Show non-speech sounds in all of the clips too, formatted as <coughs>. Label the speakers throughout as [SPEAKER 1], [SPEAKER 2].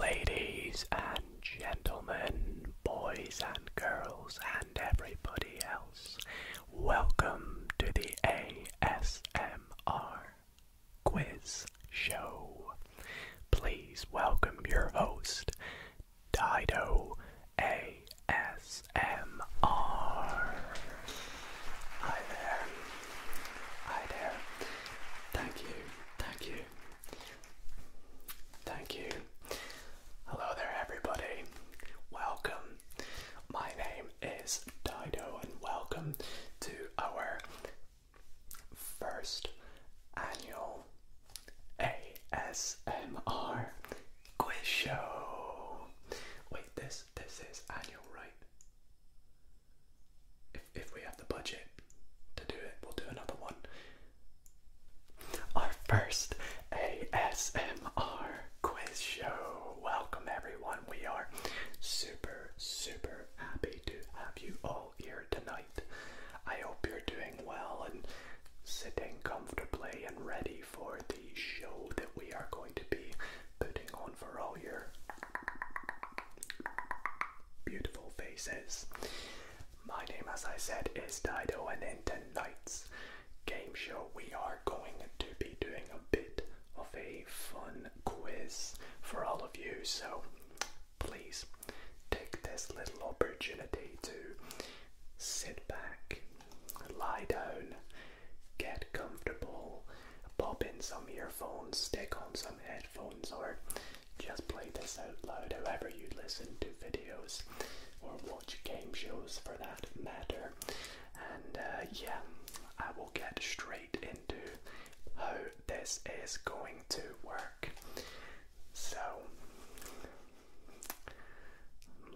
[SPEAKER 1] Ladies and gentlemen, boys and girls, and everybody else, welcome to the ASMR Quiz Show. Please welcome your host, Dido ASMR. Hi there. Hi there. Thank you. Thank you. Thank you. Hello there, everybody. Welcome. My name is Dido, and welcome to our first annual ASMR quiz show. Wait, this this is annual, right? if, we have the budget to do it, we'll do another one. Our first ASMR quiz show. Welcome, everyone. We are super, super happy to have you all here tonight. I hope you're doing well and sitting comfortably and ready for the show that we are going to be putting on for all of you beautiful faces. My name, as I said, is Dido, and in tonight's game show, we are going to be doing a bit of a fun quiz for all of you. So please take this little opportunity to
[SPEAKER 2] sit back, lie down, get
[SPEAKER 1] comfortable, pop in some earphones, stick on some headphones, or just play this out loud however you listen to videos or watch game shows for that matter. And uh, yeah, I will get straight into how this is going to work. So,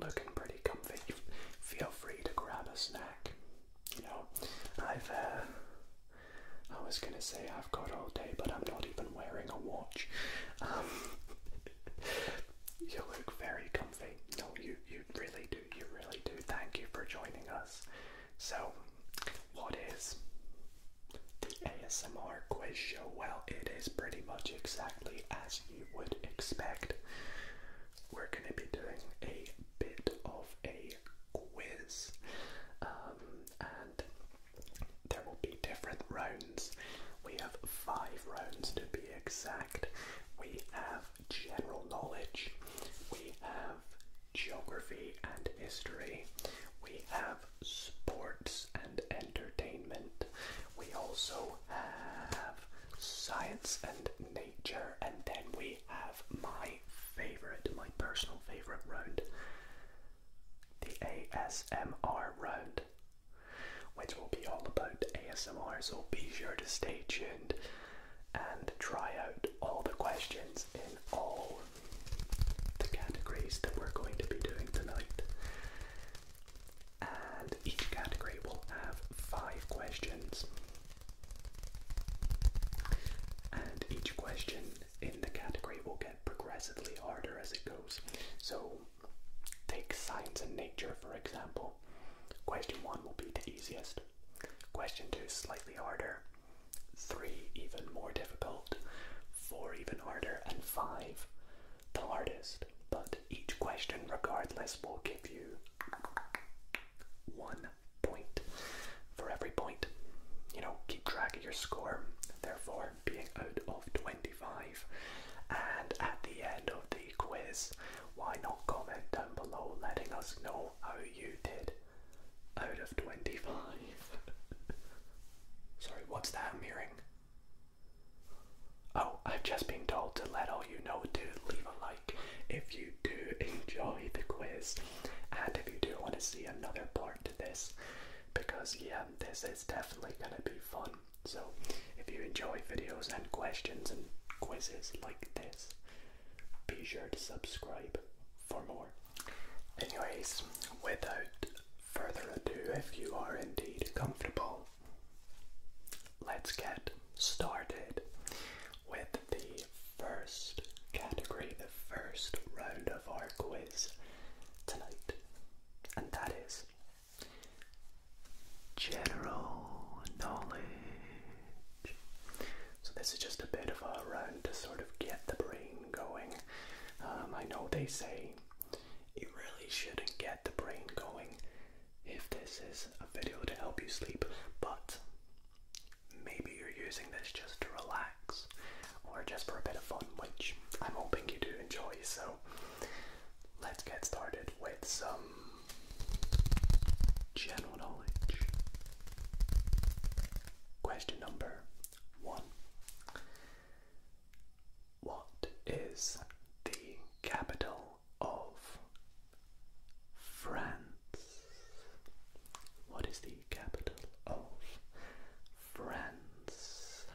[SPEAKER 2] looking pretty comfy. Feel free
[SPEAKER 1] to grab a snack. You know, I've uh, I was gonna say I've got all day, but I'm not even wearing a watch. Um, <laughs> you look very comfy. No, you you really do. You really do. Thank you for joining us. So, what is the ASMR quiz show? Well, it is pretty much exactly as you would expect. We're gonna be doing a bit of a quiz. Um, and there will be different rounds. We have five rounds to be exact. We have general knowledge, we have geography and history, we have sports and entertainment, we also have science and nature, and then we have my favorite, my personal favorite round, the ASMR round, which will be all about ASMR. So be sure to stay tuned and try out all the questions in all the categories that we're going to be doing tonight. And each category will have five questions. And each question in the category will get progressively harder as it goes. So, take science and nature for example. Question one will be the easiest. Question two slightly harder. Three, even more difficult. Four, even harder. And five, the hardest. But each question, regardless, will give you one point for every point. You know, keep track of your score, therefore being out of 25. And at the end of the quiz, why not comment down below letting us know how you did out of 25? <laughs> Sorry, what's that I'm hearing? Oh, I've just been told to let all you know to leave a like if you do <laughs> enjoy the quiz and if you do want to see another part to this because yeah, this is definitely gonna be fun. So if you enjoy videos and questions and quizzes like this, be sure to subscribe for more. Anyways, without further ado, if you are indeed comfortable, let's get started with the first category, the first round of our quiz tonight, and that is general knowledge. So, this is just a bit of a run to sort of get the brain going. Um, I know they say it really shouldn't get the brain going if this is a video to help you sleep, but maybe you're using this just to relax or just for a bit of fun, which I'm hoping you do enjoy. So let's get started with some general knowledge. Question number one What is the capital of France? What is the the capital of France?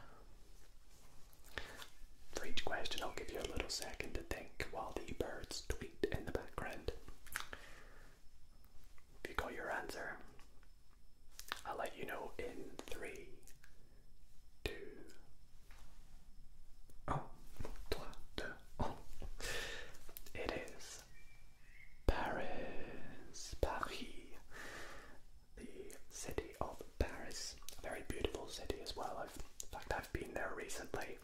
[SPEAKER 1] For each question, I'll give you a little second to think while the birds tweet in the background. If you got your answer, I'll let you know in three, oh, oh. It is Paris, Paris, the city of Paris, a very beautiful city as well. I've, in fact, I've been there recently.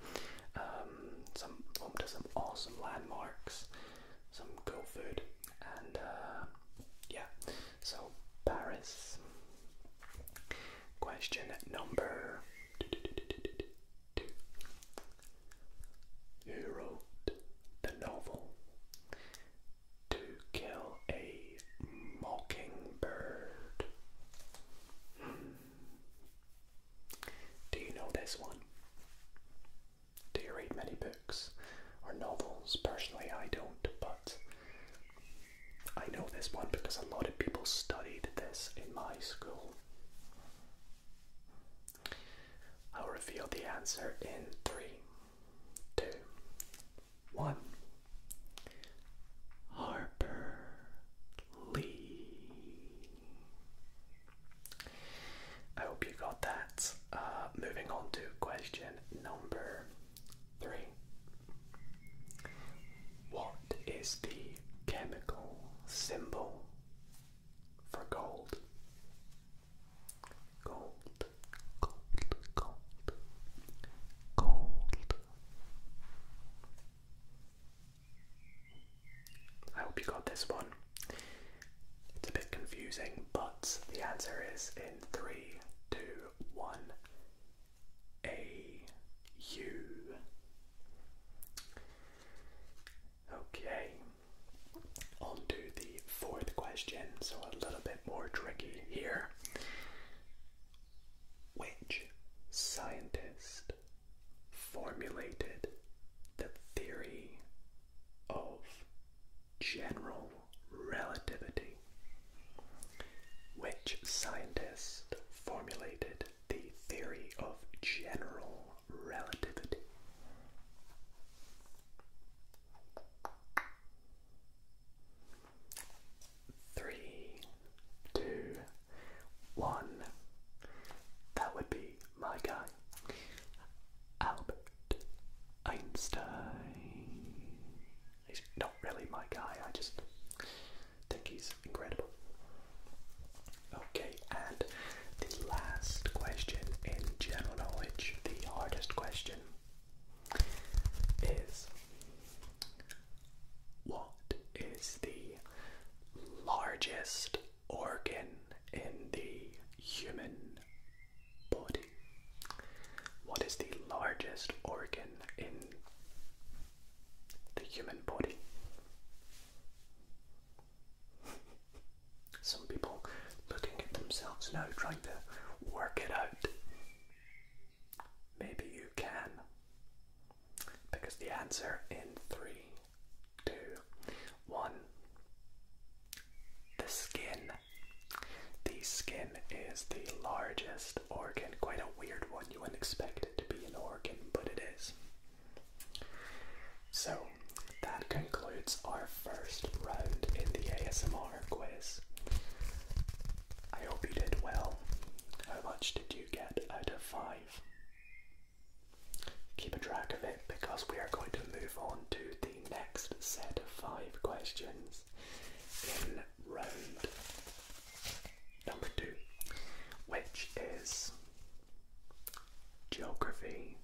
[SPEAKER 1] Um, some home to some awesome landmarks, some good food, and uh, yeah. So Paris. Question number who wrote the novel To Kill a Mockingbird. Hmm. Do you know this one? Do you read many books or novels? Personally, I don't, but I know this one because a lot of people studied this in my school. I'll reveal the answer in three, two, one. Harper Lee. I hope you got that. Uh, moving on to question number three. What is the chemical symbol for gold.
[SPEAKER 2] Gold, gold, gold, gold. I hope you got this one. It's a bit confusing, but the answer is in three, two, one. A U Okay, on the fourth question, so a little bit more tricky
[SPEAKER 1] here. Which scientist formulated the theory of general relativity? Which scientist formulated the theory of general relativity? Three, two, one. That would be my guy, Albert Einstein. He's not really my guy, I just think he's incredible. Okay, and the last question in general knowledge, the hardest question, is what is the largest organ in the human body? What is the largest organ in the human body? Some people looking at themselves now, trying to work it out. Maybe you can. Because the answer in three, two, one. The skin. The skin is the largest organ. Quite a weird one. You wouldn't expect it to be an organ, but it is. So that concludes our first round in the ASMR quiz. I hope you did well. How much did you get out of five? Keep a track of it because we are going to move on to the next set of five questions in round number two, which is geography,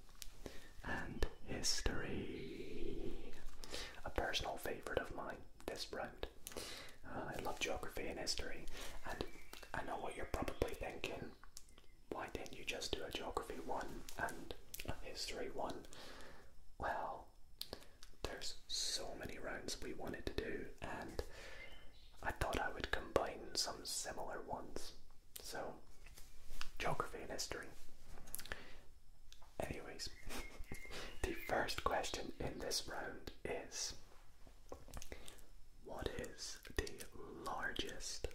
[SPEAKER 1] and history. A personal favourite of mine this round. Uh, I love geography and history, and I know what you're probably thinking. Why didn't you just do a geography one and a history one? Well, there's so many rounds we wanted to do, and I thought I would combine some similar ones so, geography and history. Anyways, <laughs> the first question in this round is What is the largest,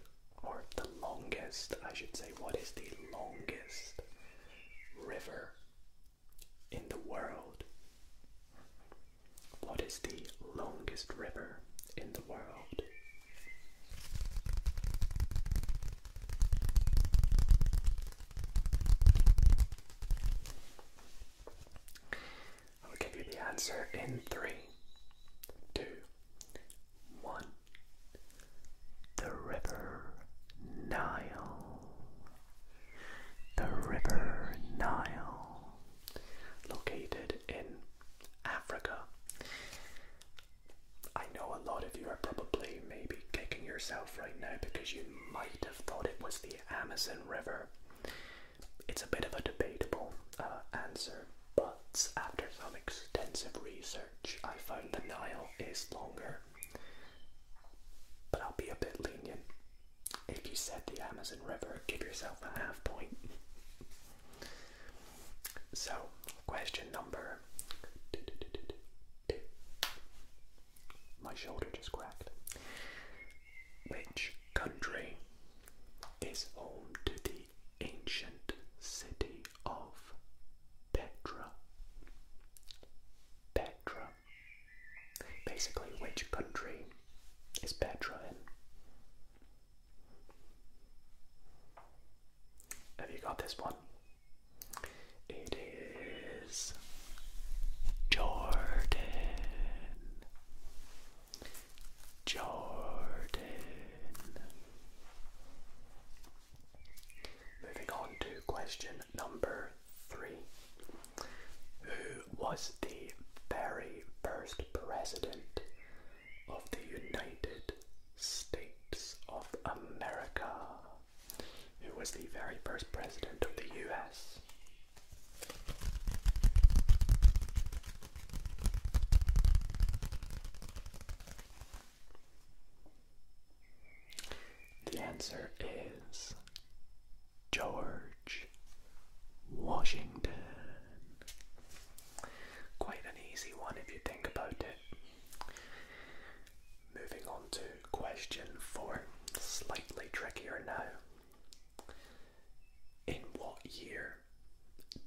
[SPEAKER 1] or the longest, I should say, what is the longest river in the world? What is the longest river in the world? I will give you the answer in three, two, one. The River Nile. The River Nile, located in Africa, I know a lot of you are probably maybe kicking yourself right now because you might have thought it was the Amazon River. It's a bit of a debatable uh, answer, but after some extensive
[SPEAKER 2] research, I found the Nile is longer. But I'll be a bit lenient. If you said the Amazon
[SPEAKER 1] River, give yourself a half point. So, question number. My shoulder just cracked. Which country is home to the ancient city of Petra? Petra. Basically, which country is Petra in? Have you got this one? It is Jordan. Jordan.
[SPEAKER 2] Moving on to question number three. Who was the very first president of the United States of America, who was the very first president of the US.
[SPEAKER 1] The answer is George Washington. Quite an easy one if you think about it. Moving on to question four, slightly trickier now. In what year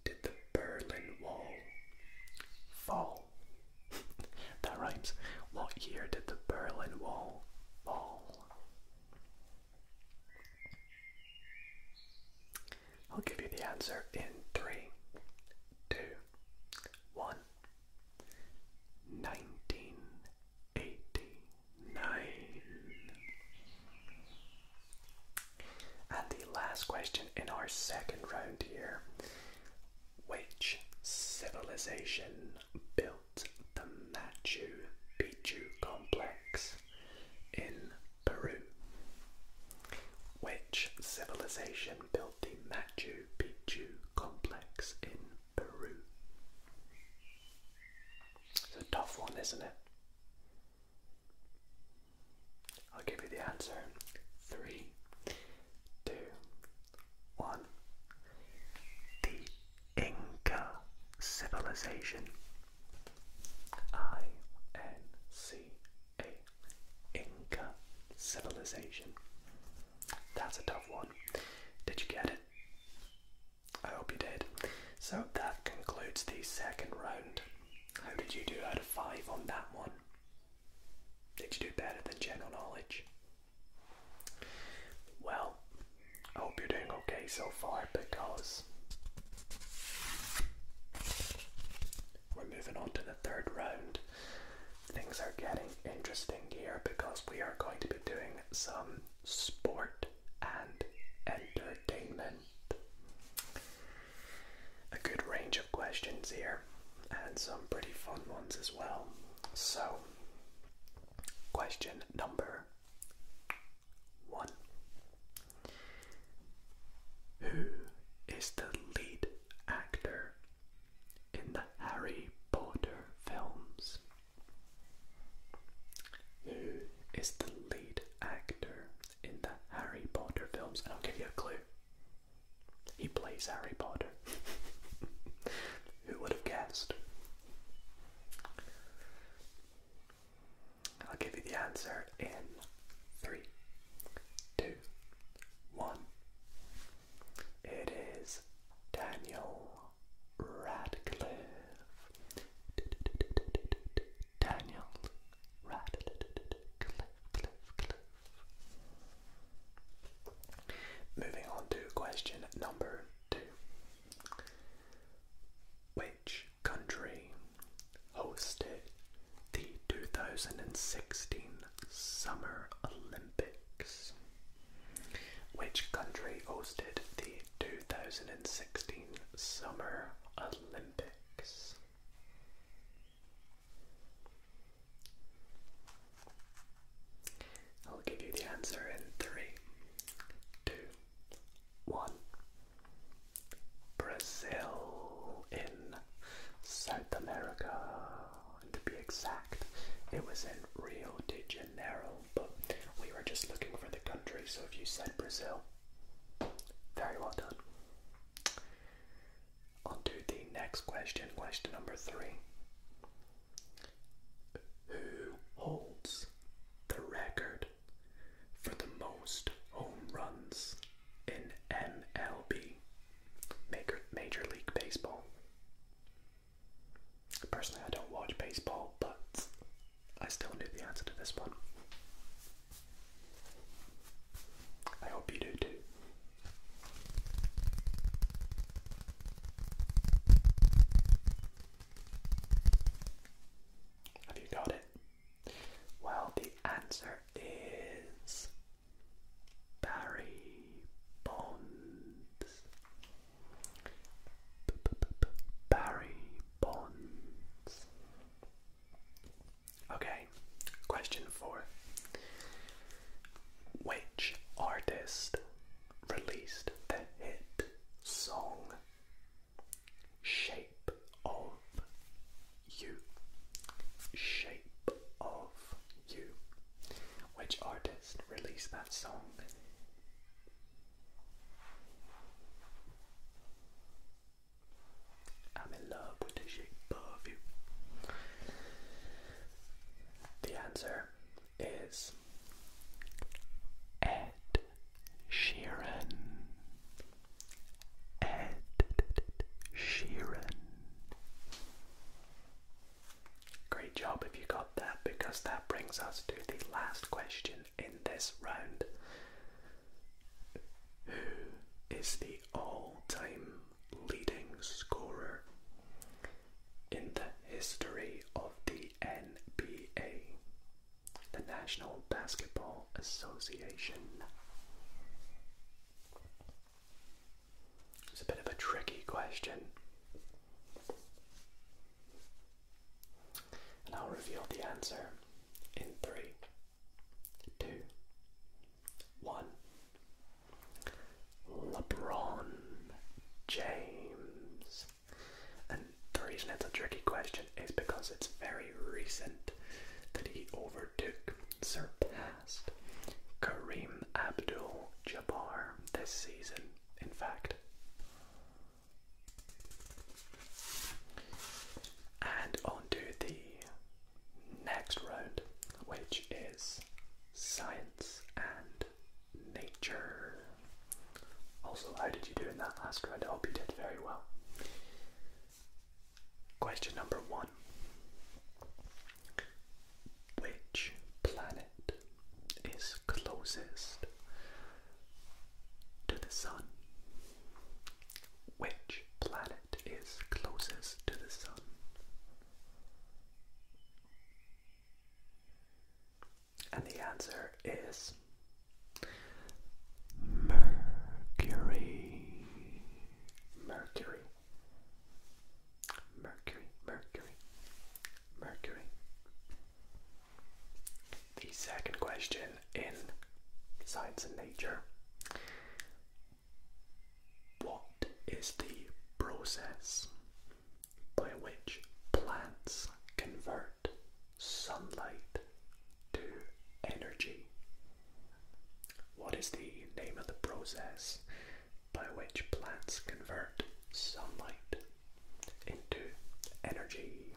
[SPEAKER 1] did the Berlin Wall fall? <laughs> that rhymes. What year did the Berlin Wall fall? I'll give you the answer in three, two, one. 1989. And the last question in our second round here. Which civilization built the Machu Picchu complex in Peru? Which civilization built the Machu Picchu complex in Peru? It's a tough one, isn't it? I'll give you the answer. Three, two, one.
[SPEAKER 2] The Inca civilization. I N
[SPEAKER 1] C a Inca civilization. That's a tough one. Did you get it? I hope you did. So that concludes the second round. How did you do out of five on that one? Did you do better than general knowledge? Well, I hope you're doing okay so far because we're moving on to the third round, things are getting interesting here because we are going to be doing some sport and entertainment. A good range of questions here and some pretty fun ones as well. So, question number one who is the lead actor in the Harry Potter films? Who is the lead actor in the Harry Potter films? And I'll give you a clue. He plays Harry Potter. <laughs> Who would have guessed? I'll give you the answer in three, two, one. It is Daniel Radcliffe. Daniel Radcliffe. Moving on to question number two. Which country hosted the 2016 Summer Olympics. Which country hosted the 2016 Summer Olympics? I'll give you the answer in three, two, one. Brazil in South America. to be exact, it was in Rio de Janeiro, but we were just looking for the country, so if you said Brazil, very well done. On to the next question, question number three. Who holds the record for the most home runs in MLB, Major, Major League Baseball. Personally, I don't watch baseball, but I still knew the answer to this one. I hope you do too. Have you got it? Well, the answer is Barry Bonds. Barry Bonds. Okay, question four. Which artist released the hit song Shape of you, shape of you. Which artist released that song? I'm in love with the shape of you. The answer is Ed Sheeran. Ed Sheeran. Great job if you got that because that brings us to the last question in this round. Who is the all time leading scorer in the history of the NBA? The National Basketball Association. It's a bit of a tricky question. And I'll reveal the answer in three, two, one. LeBron James. And the reason it's a tricky question is because it's very recent that he over overtook, surpassed Kareem Abdul Jabbar this season, in fact. And on the next round, which is science and nature. Also, how did you do in that last round? I hope you did very well. Question number one Which planet is closest to the Sun? Which planet is closest to the Sun? And the answer is Mercury. Mercury, Mercury, Mercury, Mercury. The second question in Science and Nature What is the process by which plants convert sunlight to energy? What is the name of the process by which plants convert sunlight into energy?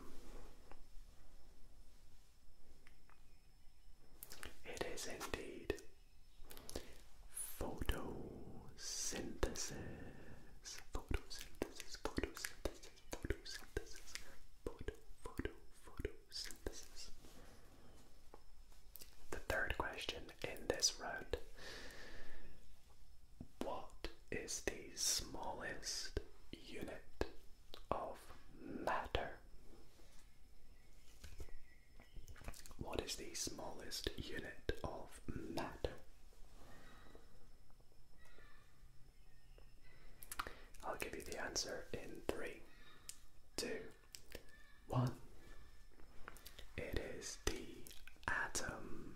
[SPEAKER 1] It is indeed photosynthesis. Photosynthesis, photosynthesis, photosynthesis, photo, photo, photosynthesis. The third question in this round What is the smallest unit of matter? What is the smallest unit of matter? I'll give you the answer in three, two, one, it is the atom.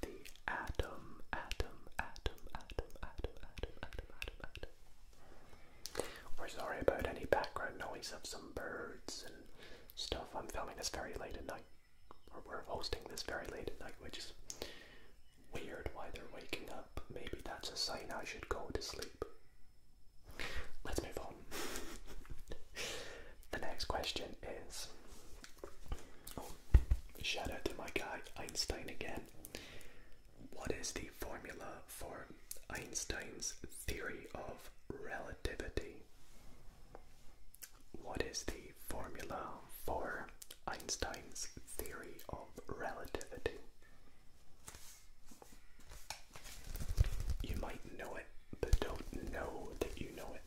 [SPEAKER 1] The atom, atom, atom, atom, atom, atom, atom, atom, We're sorry about any background noise of some birds and stuff. I'm filming this very late at night, or we're hosting this very late at night, which is weird why they're waking up. Maybe that's a sign I should go to sleep. Let's move on. <laughs> the next question is oh, shout out to my guy Einstein again. What is the formula for Einstein's theory of relativity? What is the formula for Einstein's theory of relativity? You might know it, but don't know that you know it.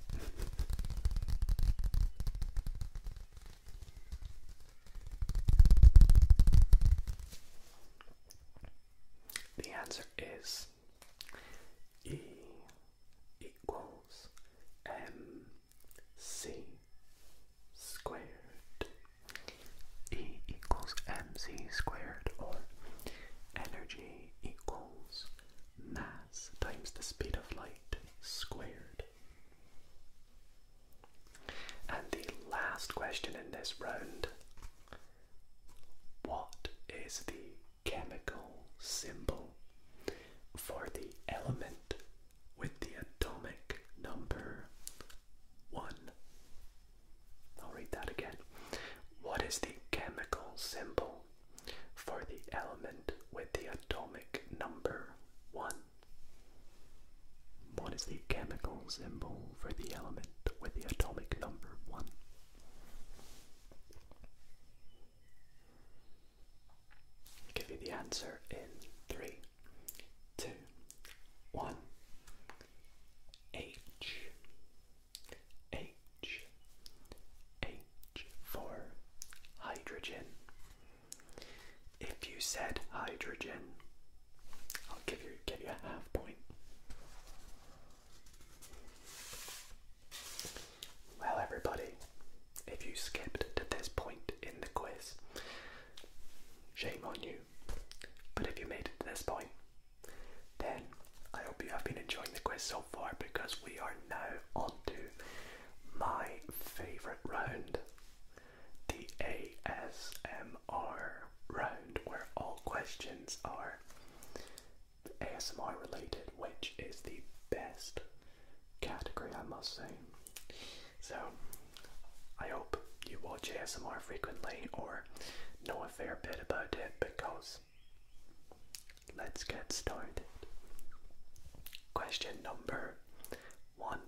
[SPEAKER 1] The answer is E equals M C squared E equals mc squared, or energy equals mass times the speed of light squared. And the last question in this round What is the chemical symbol for the element with the atomic number one. I'll read that again. What is the chemical symbol for the element with the atomic number one? What is the chemical symbol for the element with the atomic number one? give you the answer in three, two, one. H, H, H for hydrogen. If you said hydrogen, I'll give you give you a half point. Well, everybody, if you skipped to this point in the quiz, shame on you. But if you made it to this point, then I hope you have been enjoying the quiz so far because we are now on to my favourite round the ASMR round, where all questions are ASMR related, which is the best category, I must say. So, I hope you watch ASMR frequently or know a fair bit about it because let's get started. Question number one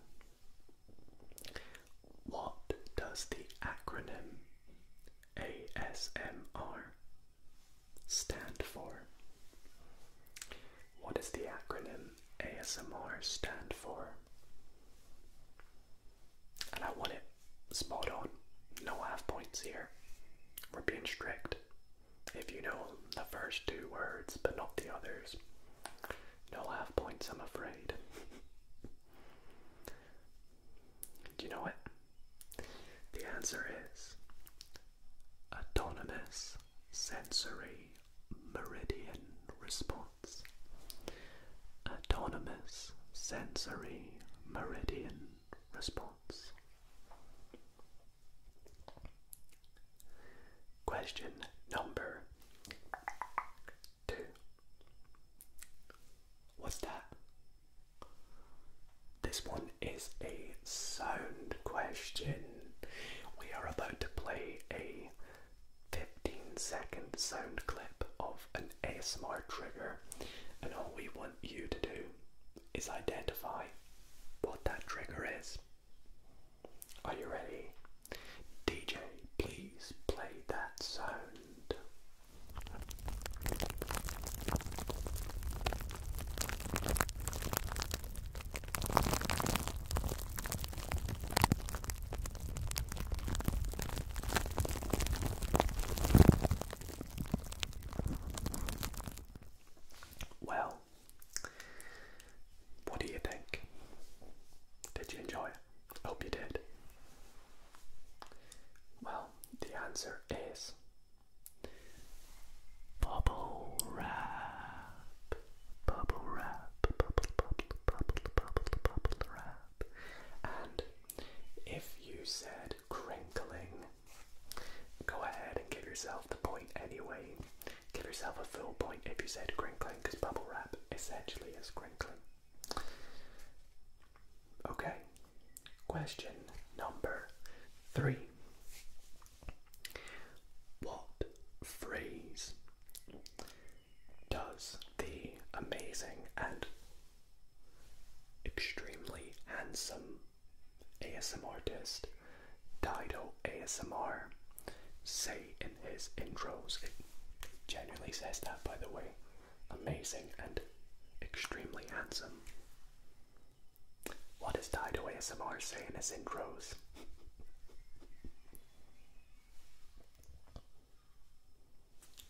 [SPEAKER 1] What does the acronym ASMR stand for? What does the acronym ASMR stand for? And I won it. Spot on. No half points here. We're being strict. If you know the first two words but not the others, no half points, I'm afraid. Do you know it? The answer is autonomous sensory meridian response. Autonomous sensory meridian response. Question number two. What's that? This one is a sound question. We are about to play a 15 second sound clip of an ASMR trigger, and all we want you to do is identify what that trigger is. Are you ready? DJ, please play that sound. Well, what do you think? Did you enjoy it? Hope you did. Well, the answer is bubble wrap. Bubble wrap. Bubble, bubble, bubble, bubble, bubble wrap. And if you said crinkling, go ahead and give yourself the point anyway. Give yourself a full point if you said crinkling, because bubble wrap essentially is crinkling. Okay, question number three. What phrase does the amazing and extremely handsome ASMR artist Dido ASMR say in his intros. It genuinely says that, by the way. Amazing and extremely handsome. What does Dido ASMR say in his intros?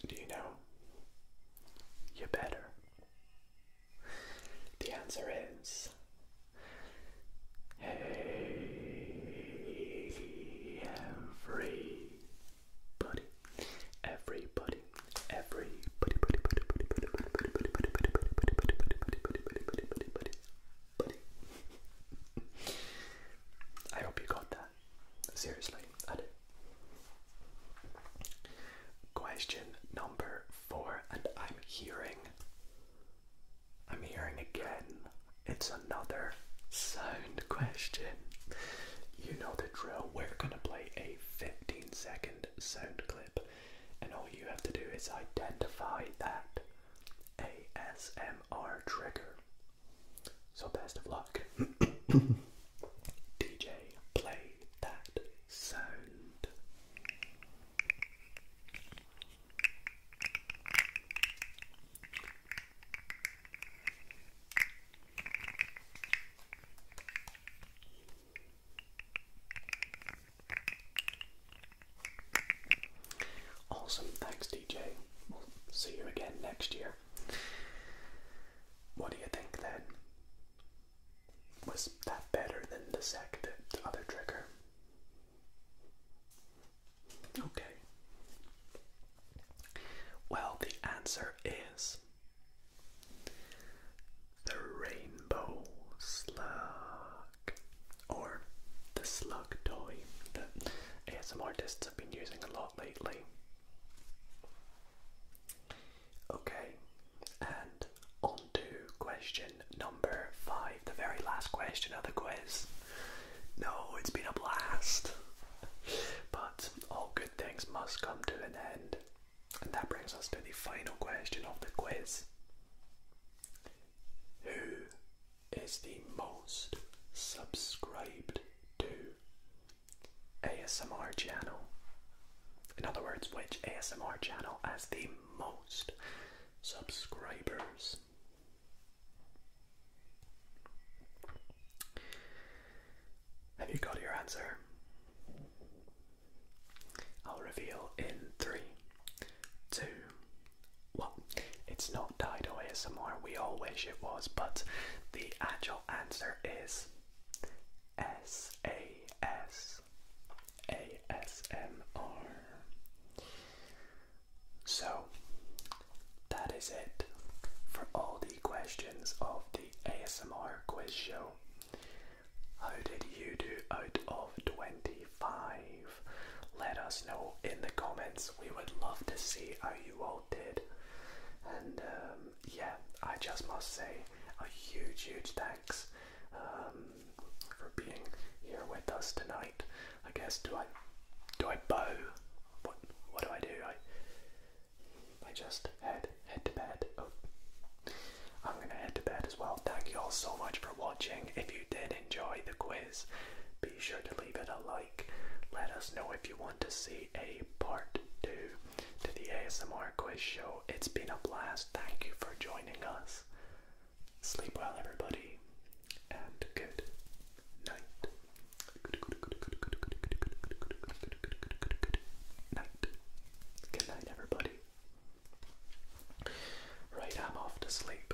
[SPEAKER 1] Do you know? You better. The answer is Hey everybody. Everybody. Everybody. I hope you got that. Seriously, Question number four, and I'm hearing, I'm hearing again, it's another sound question. You know the drill, we're gonna play a 15 second sound clip, and all you have to do is identify that ASMR trigger. So best of luck. <coughs> DJ, play that sound. Awesome, thanks, DJ. We'll see you again next year. What do you think then? Was that better than the second other trigger? Okay. Well, the answer is the rainbow slug, or the slug toy that ASM artists have been using a lot lately. Okay, and on to question number five, the very last question of the quiz. No, it's been a blast. But all good things must come to an end. And that brings us to the final question of the quiz. Who is the most subscribed to ASMR channel. In other words, which ASMR channel has the most subscribers? Have you got your answer? I'll reveal in three, two, well, it's not Dido ASMR, we all wish it was, but the actual answer is S A S A S M R. So that is it for all the questions of the ASMR quiz show. How did you do out of 25? Let us know in the comments we would love to see how
[SPEAKER 2] you all did. And
[SPEAKER 1] um, yeah, I just must say a huge, huge thanks um, for being here with us tonight. I guess do I do I bow? What what do I do? I I just head head to bed. Oh, I'm gonna head to bed as well. Thank you all so much for watching. If you did enjoy the quiz, be sure to leave it a like. Let us know if you want to see a part two to the ASMR quiz show. It's been a blast. Thank you for joining us. Sleep well, everybody, and good Night. Good night, everybody. Right, I'm off to sleep.